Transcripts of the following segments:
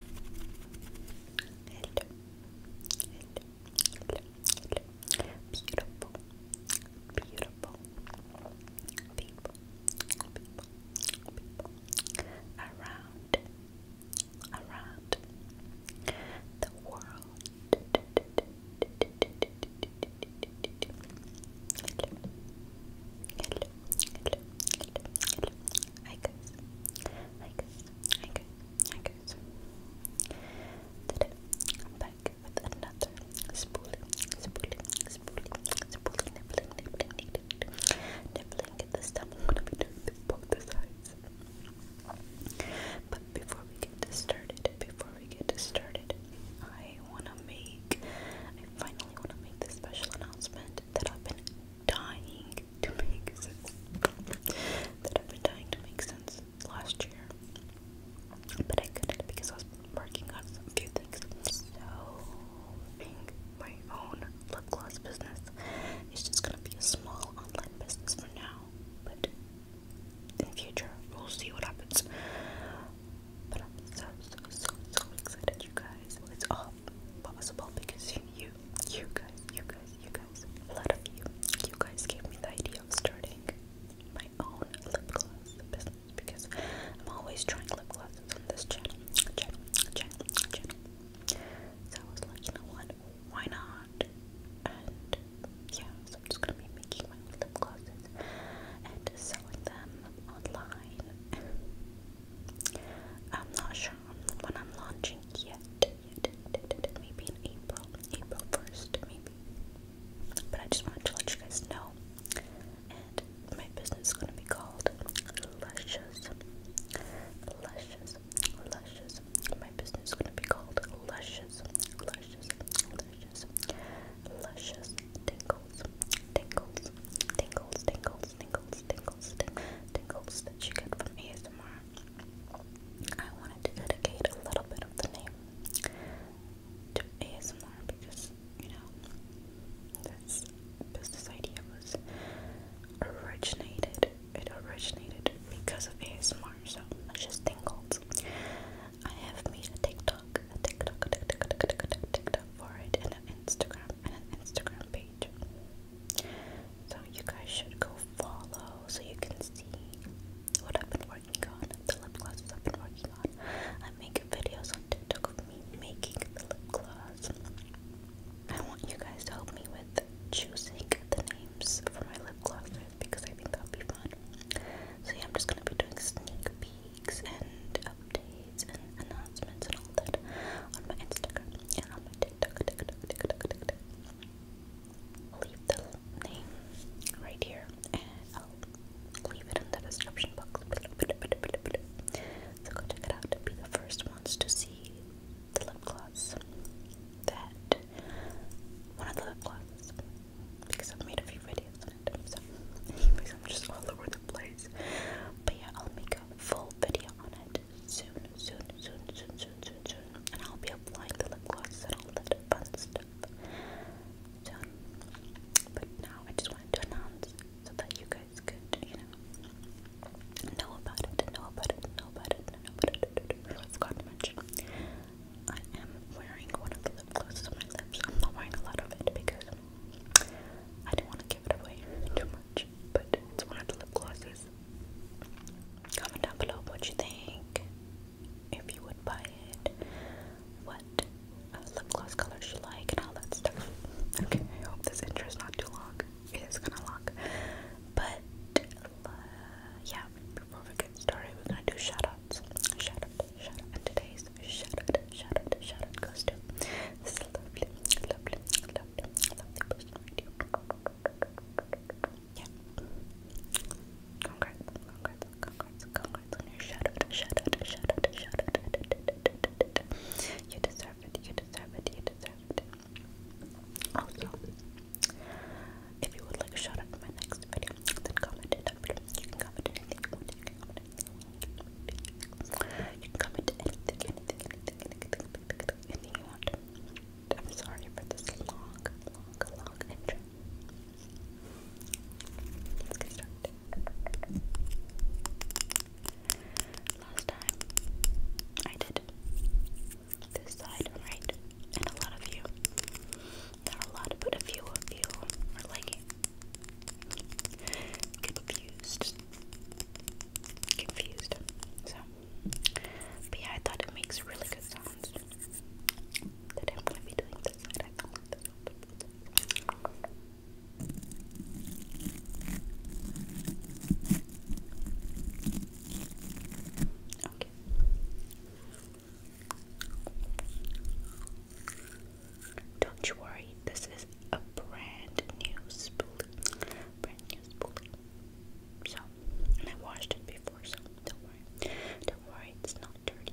Hello. Hello. People. People. People. Around. Around. The world. Hi guys, hi Today I'm back with another spooling, spooling, spooling, spooling, nibbling, nibbling, nibbling, nibbling. At this time I'm going both the sides. But before we get started, before we get started, I wanna make, I finally wanna make this special announcement that I've been dying trying to make sense that I've been trying to make sense last year, but I couldn't because I was working on some few things. So, being my own lip gloss business is just gonna be a small online business for now, but in the future we'll see what happens. But I'm so so so so excited, you guys. It's all possible because you, you guys, you guys, you guys, a lot of you, you guys gave me the idea of starting my own lip gloss business because I'm always trying lip glosses on this channel, So I was like, you know what, why not? And yeah, so I'm just gonna be making my own lip glosses and selling them online. I'm not sure when I'm launching yet. yet, yet, yet maybe in April, April 1st, maybe. But I just wanted to let you guys know. And my business is going to be called Luscious. Luscious. Luscious. My business is going to be called Luscious. Luscious. Luscious. Luscious. Tingles. Tingles. Tingles. Tingles. Tingles tingles, tingles, tingles that you get from ASMR. I wanted to dedicate a little bit of the name to ASMR because, you know, this business idea was originated, it originated because of ASMR, so it's just tingles. I have made a TikTok, a TikTok, a TikTok, a TikTok, a TikTok for it, and an Instagram, and an Instagram page. So you guys should go follow so you can see what I've been working on, the lip glosses I've been working on. I make videos on TikTok of me making the lip gloss. I want you guys to help me with choosing the names for my lip glosses because I think that'll be fun. So yeah, I'm just gonna be doing sneak peeks and updates and announcements and all that on my Instagram and on my TikTok, leave the name right here and I'll leave it in the description box. So go check it out to be the first ones to see the lip gloss that one of the glosses because I've made a few videos on it. So anyways I'm just all over the place. But yeah I'll make a full video on it soon, soon, soon, soon, soon, soon, soon. And I'll be applying the lip gloss and all that fun stuff But now I just wanted to announce so that you guys could, you know, know about it, know about it, know about it, know about it. I forgot to mention, I am wearing one of the lip glosses on my lips. I'm not wearing a lot of it because I do not want to give it away too much, but it's one of the lip glosses this. Comment down below what you think, if you would buy it, what uh, lip gloss colors you like, and all that stuff. Okay, I hope this intro is not too long. It is kind of long. But, uh, yeah, before we get started, we're going to do shoutouts. Shout out, and today's shout out, shout goes to this lovely, lovely, lovely, person yeah. Congrats, congrats, congrats, congrats on your shout out, shout out, shout out, shout out. You deserve it, you deserve it, you deserve it. Also, if you would like a shout out in my next video, then comment it up. You can comment anything you want, you can comment anything you want. You can comment anything, anything, anything, anything, anything, anything, anything you want. I'm sorry for this long, long, long intro. Let's get started. Last time I did this side, right? And a lot of you, not a lot, but a few of you were like confused confused. So, but yeah, I thought it makes really good sounds. don't Okay. Don't you worry, this is a brand new spoolie. Brand new spoolie. So, I washed it before, so don't worry. Don't worry, it's not dirty.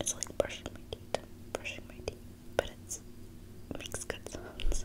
It's like brushing my teeth, brushing my teeth, but it makes good sounds.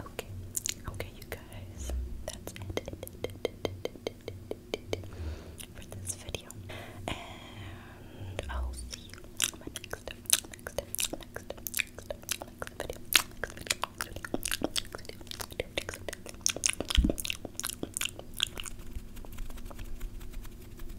Okay, okay, you guys, that's it, for this video, and I'll see you in my next, next, next, next, next video.